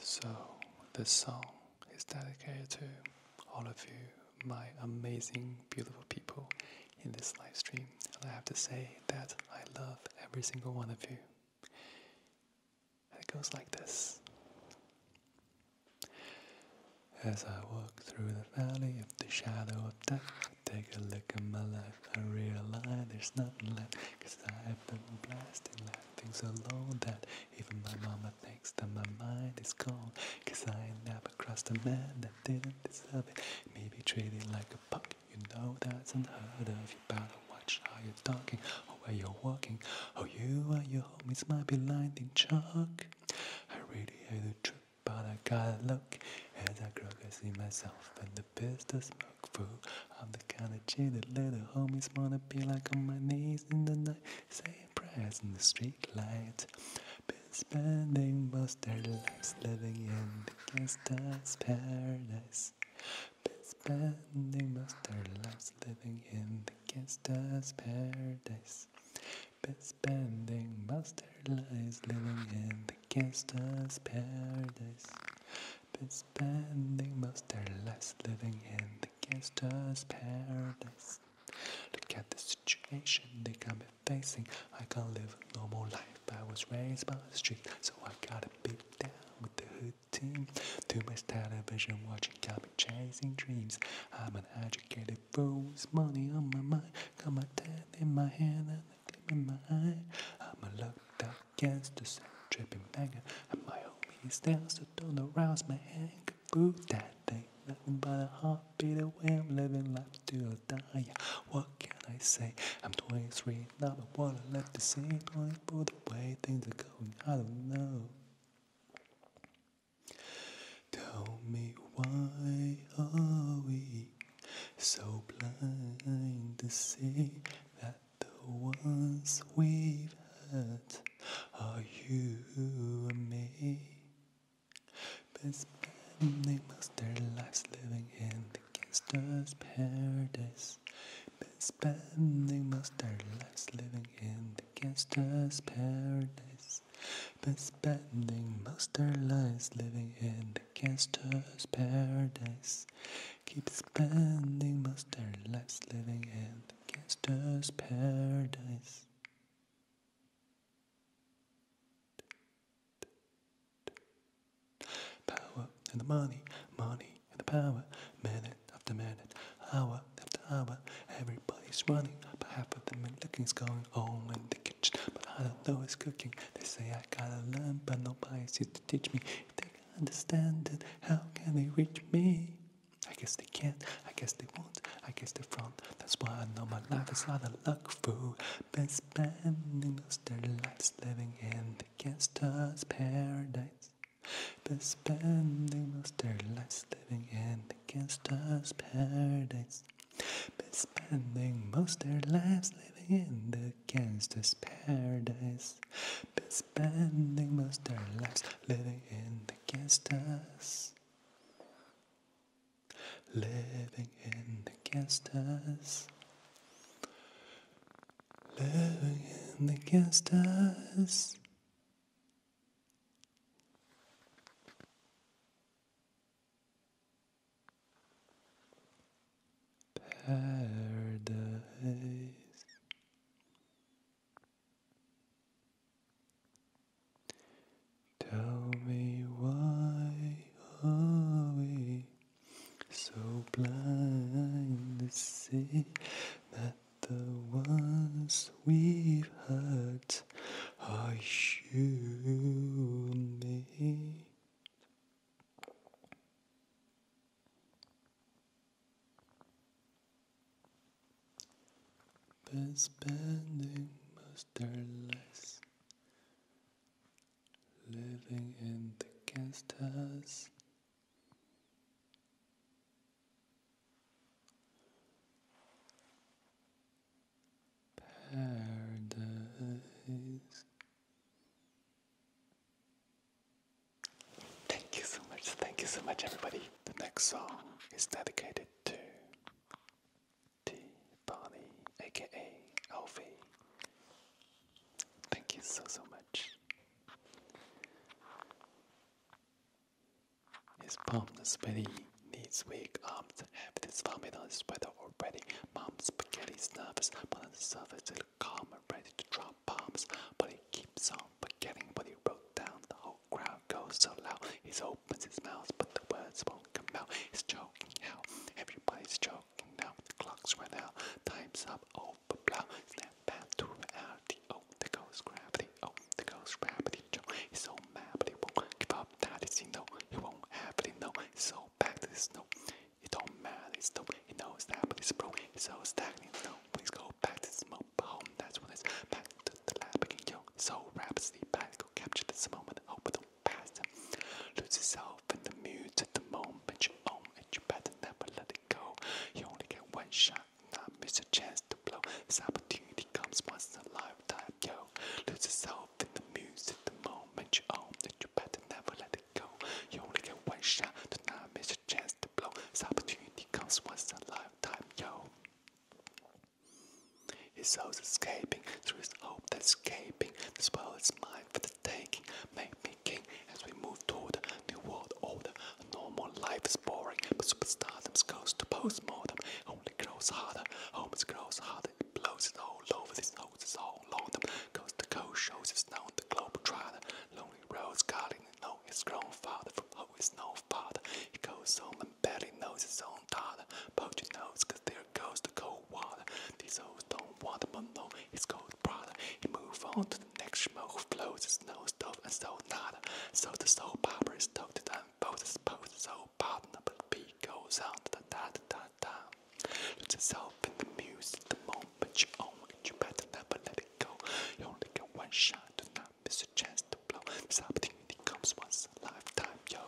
So, this song is dedicated to all of you, my amazing, beautiful people in this live stream. And I have to say that I love every single one of you. it goes like this. As I walk through the valley of the shadow of death, I take a look at my life. I realize there's nothing left, cause I've been blasted. life things alone that even my mama thinks that my mind is gone. Cause I never crossed a man that didn't deserve it. Maybe treated like a punk, you know that's unheard of. You better watch how you're talking or where you're walking. Or oh, you and your homies might be lined in chalk. I really hate the trip, but I gotta look as I grow I see myself and the business I'm the kind of chick that little homies wanna be like on my knees in the night, saying prayers in the street light. Been spending most their lives living in the gangsta's paradise. Been spending most their lives living in the gangsta's paradise. Been spending most their lives living in the gangsta's paradise been spending most their lives living in the gangster's paradise. Look at the situation they got me facing. I can't live a normal life. I was raised by the street, so I gotta beat down with the hood team. Too much television watching got me chasing dreams. I'm an educated fool with money on my mind. Got my ten in my hand and a gleam in my eye. I'm a locked up against the sun, dripping banger. my homies dance, so don't arouse my anger. Boo, that thing, nothing but a heartbeat away. I'm living life to a dying. What can I say? I'm 23, not a what I left to see. 24, the way things are going, I don't know. Tell me why are we so blind to see that the ones we've had are you and me. But spending most their lives living in the gangster's paradise. Been spending most their lives living in the gangster's paradise. Been spending most their lives living in the gangster's paradise. Keep spending most their lives living in the gangster's paradise. Power and the money, money and the power, minute after minute, hour after hour. Everybody's running, but half of them are looking, is going on in the kitchen. But I don't know who's cooking. They say I gotta learn, but nobody seems to teach me understand it. How can they reach me? I guess they can't, I guess they won't, I guess they won't. That's why I know my life is not a luck fool. spending most their lives living in the gangster's paradise. But spending most their lives living in the gangster's paradise. Been spending most their lives living in the gangster's paradise. Been spending most their lives living in the gangsters. Living in the gangsters. Living in the gangsters. Paradise. Tell me why are we so blind to see that the ones we've hurt are you and me? Been spending most their lives living in the guest Paradise Thank you so much. Thank you so much, everybody. The next song is dedicated to T. Bonnie, aka Alfie. Thank you so, so much. His palms sweaty, knees weak, arms have this vomit on his sweater already. Mom's spaghetti nervous, but on the surface, it calm and ready to drop pop pops, but he keeps on forgetting what he wrote down. The whole crowd goes so loud, he opens his mouth, but the words won't come out. He's choking out, everybody's choking now. The clock's run out, time's up, over blow. Snap back to reality. Oh, there goes gravity. Oh, there goes gravity. Joe, he's so mad, but he won't give up. That is, he know he won't have it. He know he's so back to his snow. It don't matter, it's dope. He knows that, but it's broke. He's so stagnant. No, Please go back to smoke home. That's what it's back to the lab again, yo. So rapidly back, go capture this moment. Hope it don't pass. Lose yourself in the mood to the moment you own and you better never let it go. You only get one shot, not miss a chance to blow. This opportunity comes once in a lifetime, yo. Lose yourself in the mood to the moment you own and you better never let it go. You only get one shot, do not miss chance to blow. This opportunity comes once in a lifetime, yo. His soul's escaping through his hope that's escaping. This world is mine for the taking. Make me king as we move toward a new world order. normal life is boring, but superstardom goes to postmortem. Only grows harder, homes grows harder. It blows it all over, this nose is all on them. Coast to coast shows it's known the globe trotter. Lonely roads guarding know his grandfather from how his no father. He goes home and barely knows his own daughter. Poetry knows, cause there goes the cold water. These hoes don't want him, but no, his cold brother. He move on to the next schmo who flows his no stuff and so nada. So the soul popper is toted and poses, poses, so partner, but the beat goes on da da da da da. Lose yourself in the music, the moment you own it, you better never let go. You only get one shot, do not miss a chance to blow. This opportunity comes once in a lifetime, yo.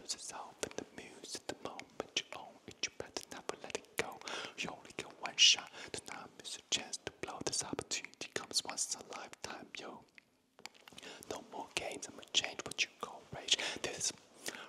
Lose yourself in the muse the moment you own it. You better never let it go. You only get one shot, do not miss a chance to blow. This opportunity comes once in a lifetime, yo. No more games, I'ma change what you call rage. This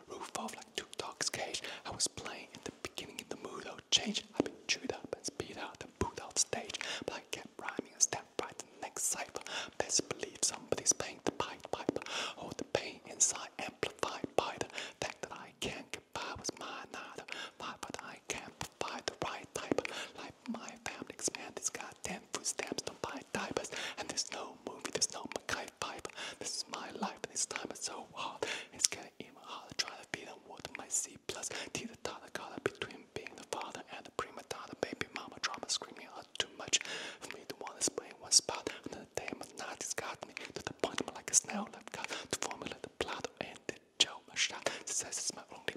roof off like two cage. I was playing in the beginning in the mood of oh, change. I've been chewed up and spit out and put out stage. But I kept rhyming and step right to the next cipher. Best believe somebody's paying the pipe pipe. All oh, the pain inside amplified by the fact that I can't get by with my nada. but I can't provide the right type. Like my family expand this goddamn food stamps, don't buy diapers. And there's no movie, there's no Mackay pipe. This is my life and this time it's so hard. It's getting even harder trying to feed the world. my sea plus the dollar color between being the father and the prima donna baby mama drama screaming out too much for me to want to play one spot. Another day my night got the point i like a snail I've got to formulate the plot and the joke my shot. Success is my only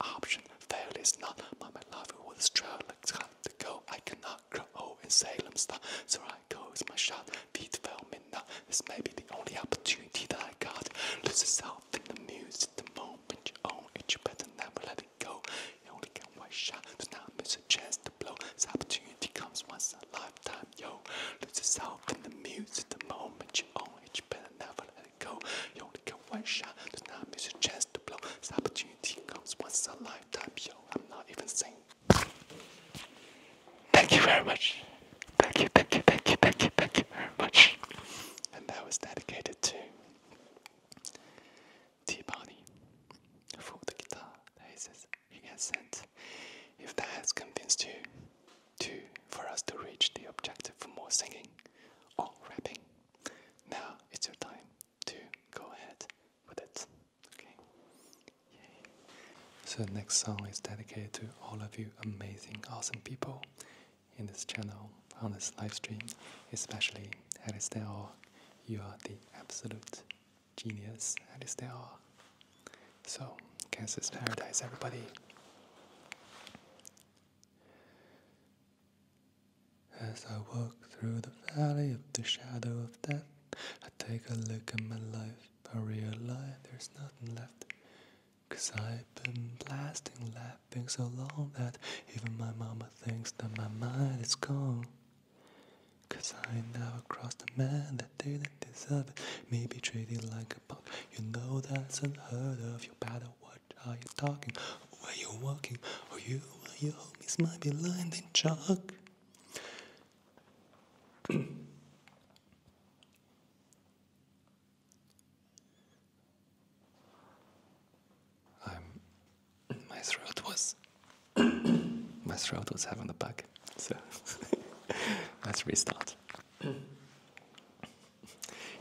option. Failure is not my my was trail to go. I cannot grow in Salem style, so I go is my shot feed filming that this may be the only opportunity that I got. Lose yourself in the music, the moment you own it, you better never let it go. You only get one shot, do not miss a chance to blow. This opportunity comes once in a lifetime, yo. Lose yourself in the music, the moment you own it, you better never let it go. You only get one shot, do not miss a chance to blow. This opportunity comes once in a lifetime, yo. I'm not even saying. Thank you very much. Thank you, thank you, thank you, thank you, thank you very much. And that was dedicated to T-Body for the guitar he says he has sent. If that has convinced you to for us to reach the objective for more singing or rapping, now it's your time to go ahead with it. Okay? So the next song is dedicated to all of you amazing, awesome people in this channel, on this live stream, especially Alistair. You are the absolute genius, Alistair. So, Kansas Paradise, everybody. As I walk through the valley of the shadow of death, I take a look at my life. I realize there's nothing left Cause I've been blasting, laughing so long that even my mama thinks that my mind is gone. Cause I never crossed a man that didn't deserve it. Me be treated like a punk. You know that's unheard of. You better watch how you talking, where you walking, or you and your homies might be lying in chalk. I'm, um, my throat was my throat was having a bug, so let's restart. it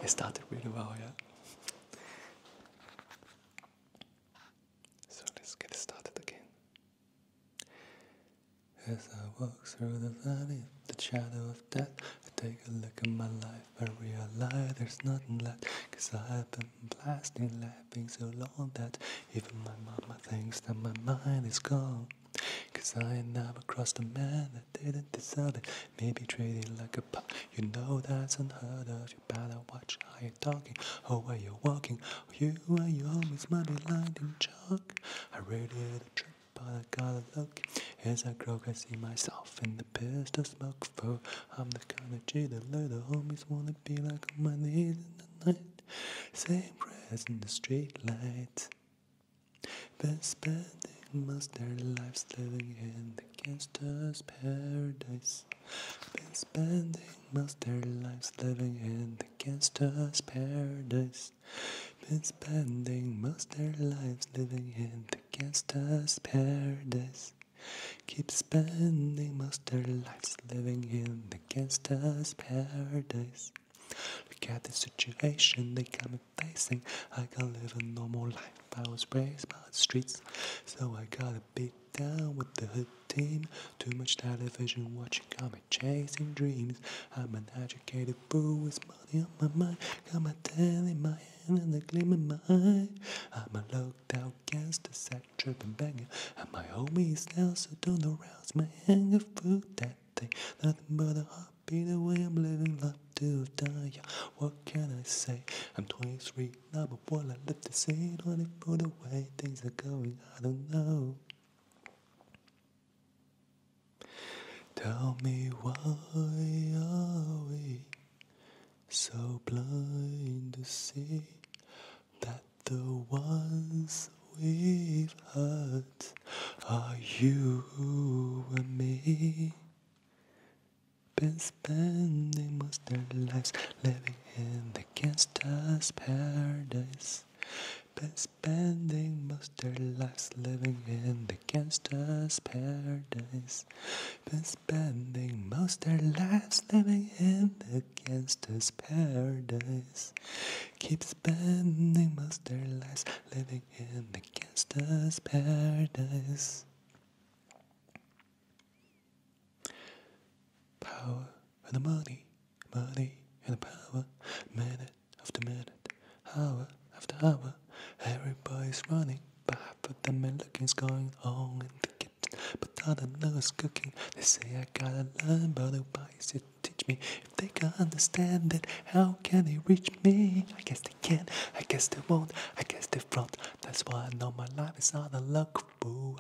started really well, yeah. So let's get started again. As I walk through the valley, the shadow of death, I take a look at my life, I realize there's nothing left. Cause I've been blasting, laughing so long that even my mama thinks that my mind is gone. Cause I never crossed a man that didn't deserve it. Maybe treat it like a pup, you know that's unheard of. You better watch how you're talking, or oh, where you're walking. Oh, you and your homies might be lined chalk. I radiate a but I gotta look as I grow, I see myself in the pistol smoke for I'm the kind of cheater, little homies wanna be like on my knees in the night. Same prayers in the street lights. Been spending most their lives living in the gangster's paradise. Been spending most their lives living in the gangster's paradise been spending most their lives living in the gangsta's paradise. Keep spending most their lives living in the gangsta's paradise. Look at the situation they are come facing. I can't live a normal life. I was raised by the streets, so I gotta beat down with the hood team. Too much television watching, i Come chasing dreams. I'm an educated fool with money on my mind. Got my tell in my hand and the gleam in my eye. I'm a locked out gangster, sack tripping banger. And my homies now, so don't arouse my anger. Food that thing, nothing but a heartbeat way I'm living life to die. Yeah. What can I say? I'm 23 now, but what I live to see, for the way things are going, I don't know. Tell me why are we so blind to see that the ones we've hurt are you and me? Been spending most their lives living in the gangsta's paradise. Spending most their lives living in the gangster's paradise. Been spending most their lives living in the gangster's paradise. Keep spending most their lives living in the gangster's paradise. Power and the money, money and the power, minute after minute, hour after hour. Everybody's running, but half of them are looking going on in the kitchen. But I don't know what's cooking. They say I gotta learn, but nobody's here to teach me. If they can't understand it, how can they reach me? I guess they can't, I guess they won't, I guess they will flaunt. That's why I know my life is out a luck. Boo.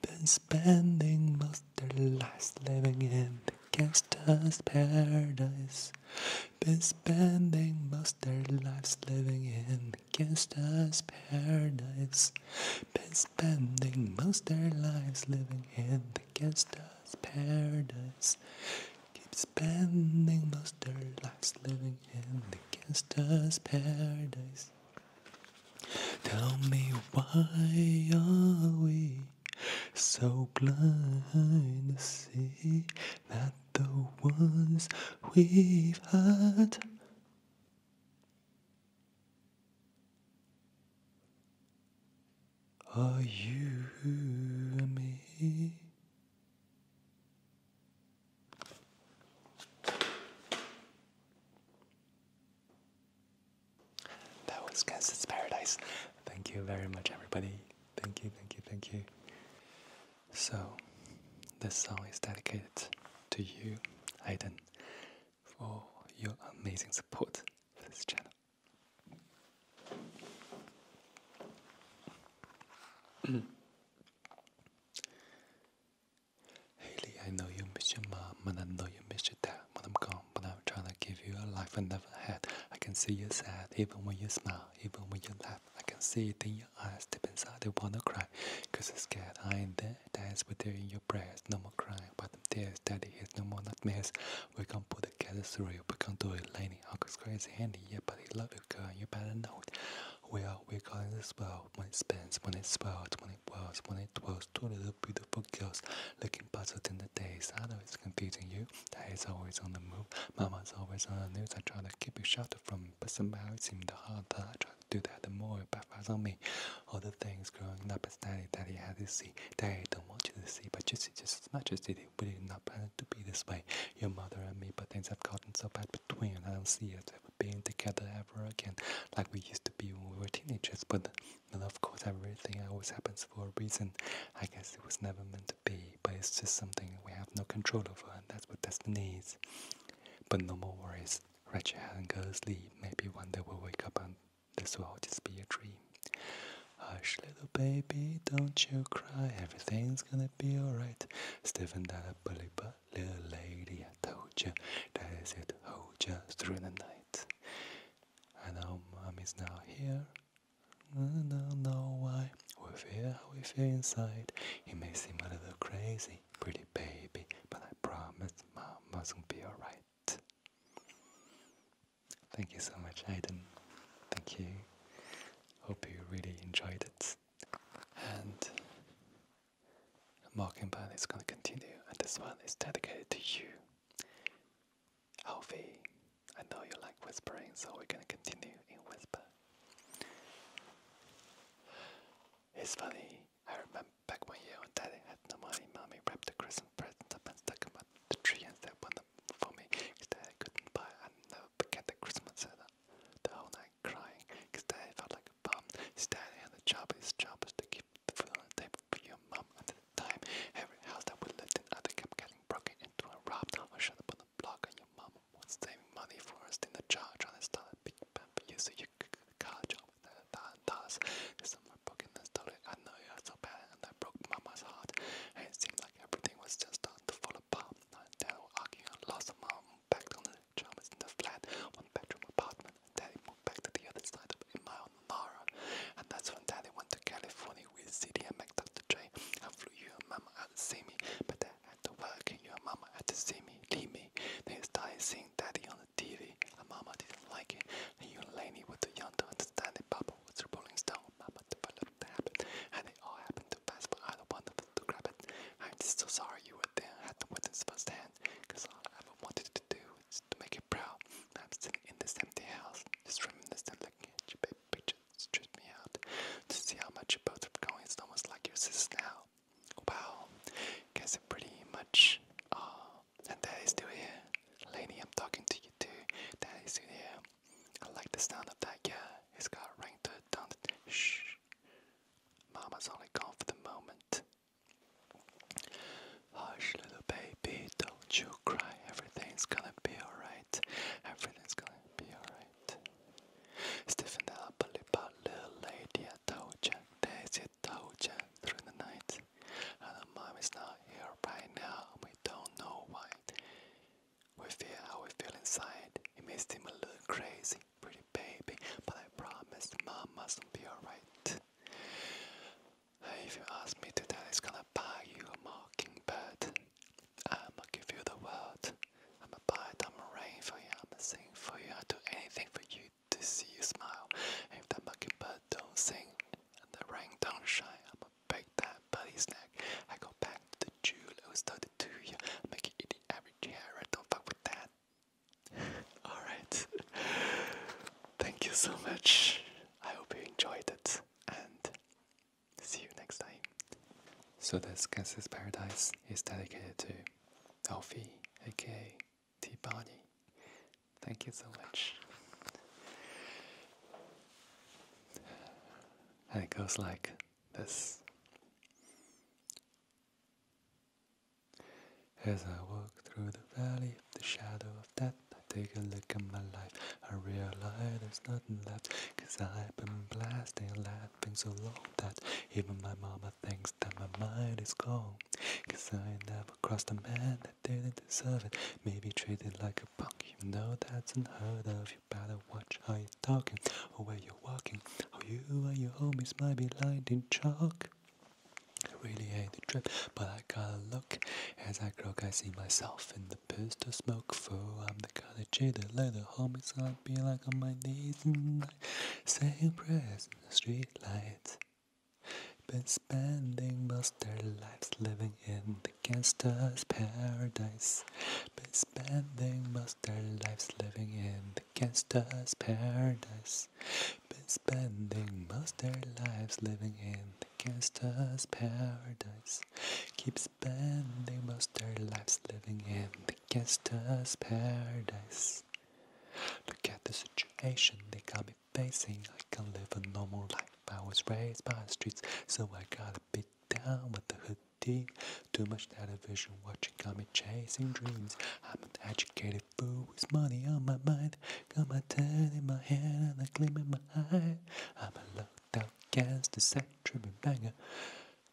Been spending most of my last living in gangsta's paradise. Been spending most their lives living in gangsta's paradise. Been spending most their lives living in the gangsta's paradise. Keep spending most their lives living in the gangsta's paradise. Tell me why are we so blind to see that the ones we've had are you and me. That was Kansas Paradise. Thank you very much, everybody. Thank you, thank you, thank you. So, this song is dedicated to you, Aiden, for your amazing support for this channel. Haley, I know you miss your mom, and I know you miss your dad when I'm gone, but I I'm trying to give you a life I never had. I can see you sad, even when you smile, even when you laugh. I can see it in your eyes, deep inside they wanna cry. Cause you're scared, I ain't there. Dance with you in your prayers, no more crying. But I'm tears, daddy is no more nightmares. We can put together through, we can do it, Laney. Uncle's crazy handy, yeah, but he love you, girl, you better know it. Well, We are weak this world when it spins, when it swirls, when it whirls, when it whirls, Two little beautiful girls, look making puzzles the days. I know it's confusing you. Daddy's always on the move. Mama's always on the news. I try to keep you sheltered from but somehow it seems the harder. I try to do that the more it backfires on me. All the things growing up as daddy, daddy had to see. Daddy don't want you to see, but you see just as much as did We did not plan it to be this way. Your mother and me, but things have gotten so bad between. I don't see us ever being together ever again, like we used to be when we were teenagers. But and of course, everything always happens for a reason. I guess it was never meant to be, but it's just something we have no control over, and that's what destiny is. But no more worries. Rest your head and go to sleep. Maybe one day we'll wake up and this will all just be a dream. Hush, little baby, don't you cry. Everything's gonna be alright. Stiffen that up, bully butt, little lady. I told you that is it. Hold you through the night. And our mom is now here. I don't know why we feel how we feel inside. It may seem a little crazy, pretty baby, but I promise mama's gonna be alright. Thank you so much, Aiden. Thank you. Hope you really enjoyed it. And Mockingbird is gonna continue, and this one is dedicated to you. Hovi, I know you like whispering, so we're gonna continue in whisper. It's funny. I remember back one year when Daddy had no money, Mommy wrapped the Christmas presents up and stuck them up the tree and set one up for me because Daddy couldn't buy. I never forget the Christmas setup. The whole night crying because Daddy felt like a bum. His Daddy had the job. His job was to keep the food on the table for your mum at the time. Every house that we lived in either kept getting broken into and robbed or shut up on the block, and your mum was saving money for us in the jar trying to start a big band so you could get a car job with that and thus. This summer and stolen, I know you are so bad, and I broke mama's heart. And it seemed like everything was just starting to fall apart. And dad would and lost a mom back on the pajamas in the flat, one bedroom apartment, daddy moved back to the other side of a Mara. And that's when Daddy went to California with CD and Mac Dr. J and flew you and Mama out to see me. But Dad had to work and you and Mama had to see me, leave me. They started seeing Daddy on the TV and Mama didn't like it. And you and Laney were too young to understand it. Papa was a rolling stone. Mama developed the habit. And they all happened to pass by either one of them to grab it. I'm just so sorry you were there and had to witness firsthand. Because all I ever wanted to do is to make make I'm still in this empty house, just reminiscent, looking at your baby pictures. Straight me out to see how much you both are going. It's almost like your sisters now. Wow, guess it pretty much. Oh, and Daddy's still here. Lady, I'm talking to you too. Daddy's still here. I like the sound of that. Yeah, it's got a ring to it. Don't Shh. Mama's only gone for the moment. Hush, little baby, don't you cry, everything's gonna be alright. Everything's gonna be alright. Stiffen up a little, little lady, I told ya. through the night. And mom is not here right now, we don't know why. We feel how we feel inside. It may seem a little crazy, pretty baby, but I promise mom must be alright. If you ask me today, am gonna buy you a mockingbird. I'ma give you the world. I'ma buy it, i rain for you, I'ma sing for you, I'll do anything for you to see you smile. And if that mockingbird don't sing and the rain don't shine, I'ma break that buddy's neck. I go back to the jewel, I was 32 yeah. Make it eat the average carrot, don't fuck with that. Alright. Thank you so much. I hope you enjoyed it and see you next time. So this Kansas Paradise is dedicated to Elfie, aka T Bonnie. Thank you so much. And it goes like this. As I walk through the valley of the shadow of death, I take a look at my life, I realize there's nothing left. Cause I've been blasting, laughing so long that even my mama thinks that my mind is gone. Cause I never crossed a man that didn't deserve it. Maybe treated like a punk, even though that's unheard of. You better watch how you're talking, or where you're walking, how you and your homies might be lined in chalk. I really hate the trip, but I gotta look. As I grow, I see myself in the the pistol smoke foe. I'm the kind of J that let the homies on be like on my knees and I saying prayers in the street lights. Been spending most their lives living in the gangster's paradise. Been spending most their lives living in the gangster's paradise. Been spending most their lives living in the against us paradise. Keep spending most their lives living in the against us paradise. Look at the situation they got me facing. I can't live a normal life. I was raised by the streets, so I got a be down with the hoodie. Too much television watching got me chasing dreams. I'm an educated fool with money on my mind. Got my tan in my hand and a gleam in my eye. I'm a locked out gangster, sex tripping banger.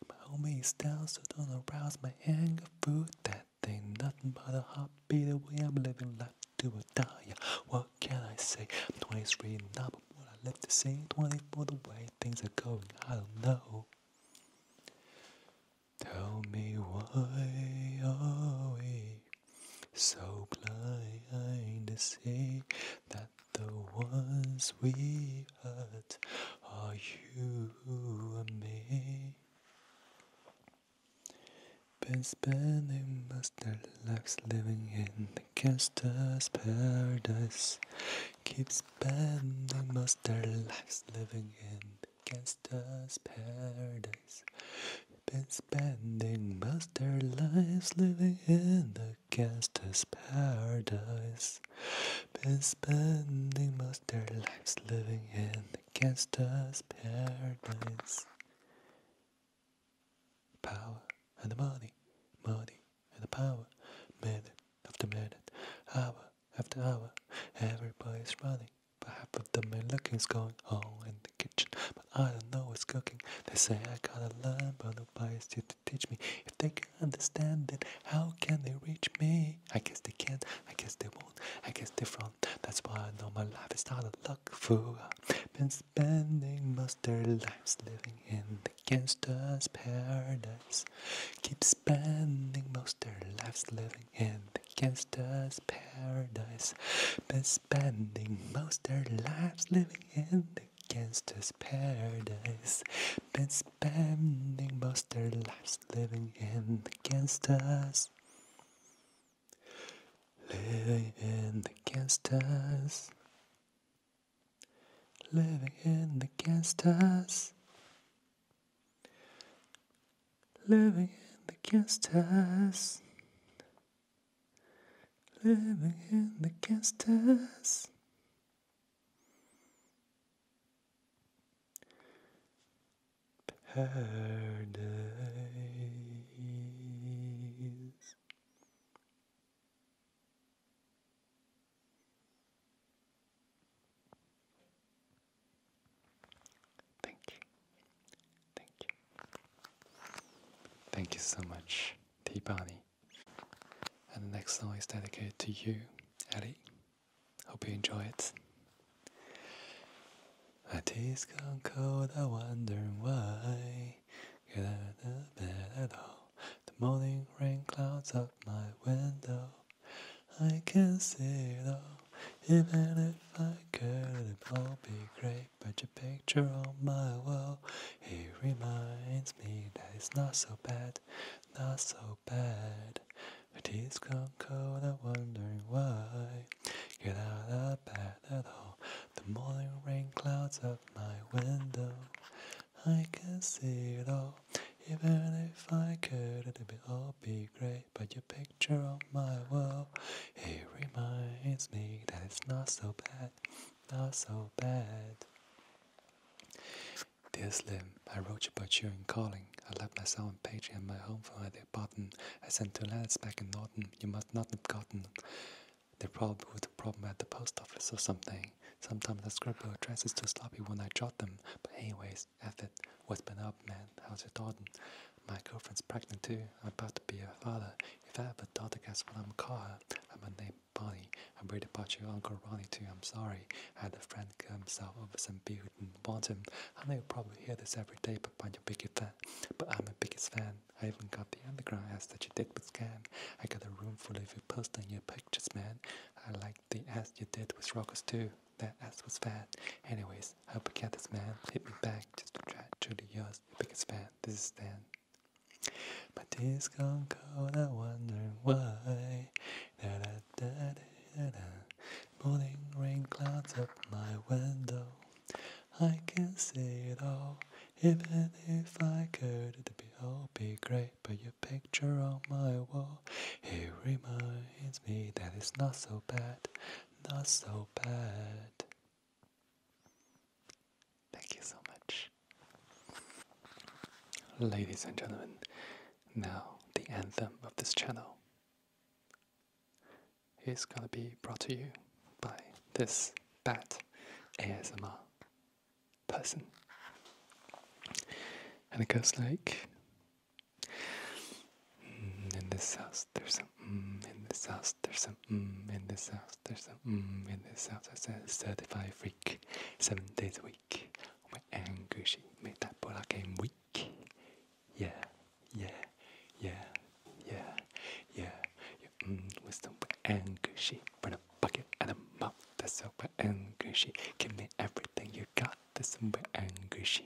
My homie is down, so don't arouse my anger. Food that ain't nothing but a hobby. The way I'm living life to a die. What can I say? I'm 23 now, but what I live to see 24 the way things are going, I don't know. Tell me why are we so blind to see that the ones we hurt are you and me. Been spending most their lives living in the gangster's paradise. Keep spending most their lives living in the gangster's paradise. Been spending most their lives living in the gangster's paradise. Been spending most their lives living in the gangster's paradise. Power and the money, money and the power, minute after minute, hour after hour, everybody's running, but half of them are looking, going on and the kitchen, but I don't know what's cooking. They say I gotta learn, but nobody's here to teach me. If they can understand it, how can they reach me? I guess they can't, I guess they won't, I guess they front. That's why I know my life is not a luck fool. I've been spending most their lives living in the gangster's paradise. Keep spending most their lives living in the gangster's paradise spending most their lives living in the gangster's paradise. Been spending most their lives living in the gangsters. Living in the gangsters. Living in the gangsters. Living in the gangsters. Living in the guest Paradise. Thank you. Thank you. Thank you so much, Tea Bonnie. And the next song is dedicated to you, Ellie. Hope you enjoy it. My tea's gone cold, I wonder why. Get a of bed all. The morning rain clouds up my window. I can't see though. Even if I could, it'd all be great. I put your picture on my wall, it reminds me that it's not so bad, not so bad. My tea's gone cold, I'm wondering why. Get out of bed at all. The morning rain clouds up my window. I can see it all. Even if I could, it would all be gray. But your picture on my wall, it reminds me that it's not so bad not so bad. Dear Slim, I wrote you about you and calling. I left myself and Page and my home for their button. I sent two letters back in Norton. You must not have gotten. They probably were the problem at the post office or something. Sometimes I scribble addresses too sloppy when I jot them. But anyways, F it. what been up, man? How's your daughter? My girlfriend's pregnant too. I'm about to be a father. If I ever thought against what I'm call her. I'm a name Bonnie. I'm worried about your Uncle Ronnie too, I'm sorry. I had a friend kill himself over some beer and bought him. I know you probably hear this every day, but I'm your biggest fan. But I'm your biggest fan. I even got the underground ass that you did with Scan. I got a room full of you posting your pictures, man. I like the ass you did with Rockers too. That ass was fat. Anyways, I hope you get this, man. Hit me back just to try. Truly yours, biggest fan. This is Stan. My days gone cold, I wonder why. Da da da da da. da. Morning rain clouds up my window. I can not see it all. Even if I could, it'd all be great. But your picture on my wall, it reminds me that it's not so bad, not so bad. Thank you so much. Ladies and gentlemen, now the anthem of this channel is gonna be brought to you by this bat ASMR person. And it goes like mm, in this house there's mmm in this house. There's some mmm in this house. There's some mmm in this house. I said thirty-five freak, seven days a week. My anguish made that bola game weak. Yeah, yeah, yeah, yeah, yeah. Your mmm wisdom with anguish, but a bucket and a mouth. That's so anguish. Give me everything you got. That's some anguish.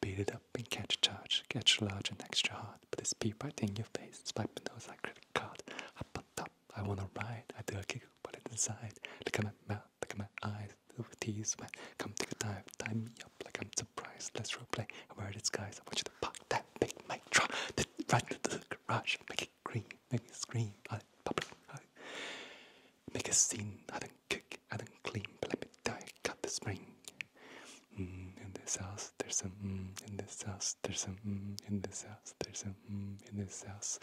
Beat it up and catch a charge, catch large and extra hard put this pea right in your face, swipe my nose like credit card, up on top, I wanna ride, I do a kick, put it inside, look at my mouth, look at my eyes, little tease wet, come take a dive, tie me up like I'm surprised, let's roleplay, I wear guys. I want you to pop that big mic drop, right into the garage, make it green, make it scream, I pop it, make a scene, I don't cook, I don't clean, but let me die, Cut the ring. Mm, in this house. There's some. Mm, in this house. There's some. Mm, in this house. There's some. in this house.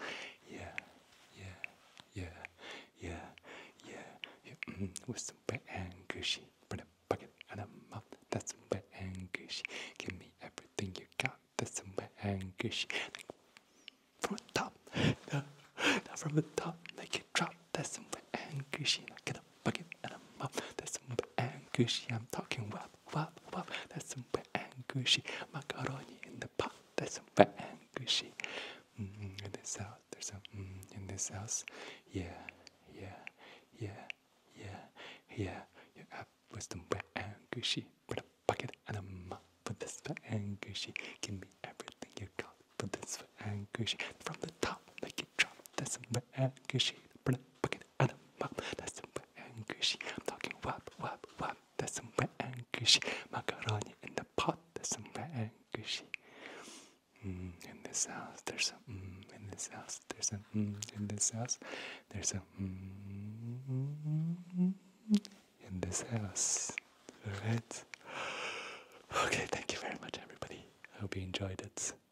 Yeah, yeah, yeah, yeah, yeah. You with some wet and gushy. Put a bucket and a mouth. That's some wet gushy. Give me everything you got. That's some wet and gushy. from the top. Not from the top. Make it drop. That's some wet and gushy. Like, get up bucket and I'm up. That's some angushy I'm talking wop, wop, wop. That's some angushy macaroni in the pot. That's some angushy. Mm -hmm. in this house, there's some mm, in this house. Yeah, yeah, yeah, yeah, yeah. Your app was some angushy. Put a bucket and a am Put this angushy. Give me everything you got. Put this angushy. From the top, make it drop. That's some angushy. Put a bucket and That's some and I'm talking wop, wop, wop. That's some and Macaroni in the pot. That's some and gushy. Mm, in this house, there's a mm, in this house, there's a mm, in this house, there's a mm, in this house. Alright. Okay, thank you very much, everybody. I hope you enjoyed it.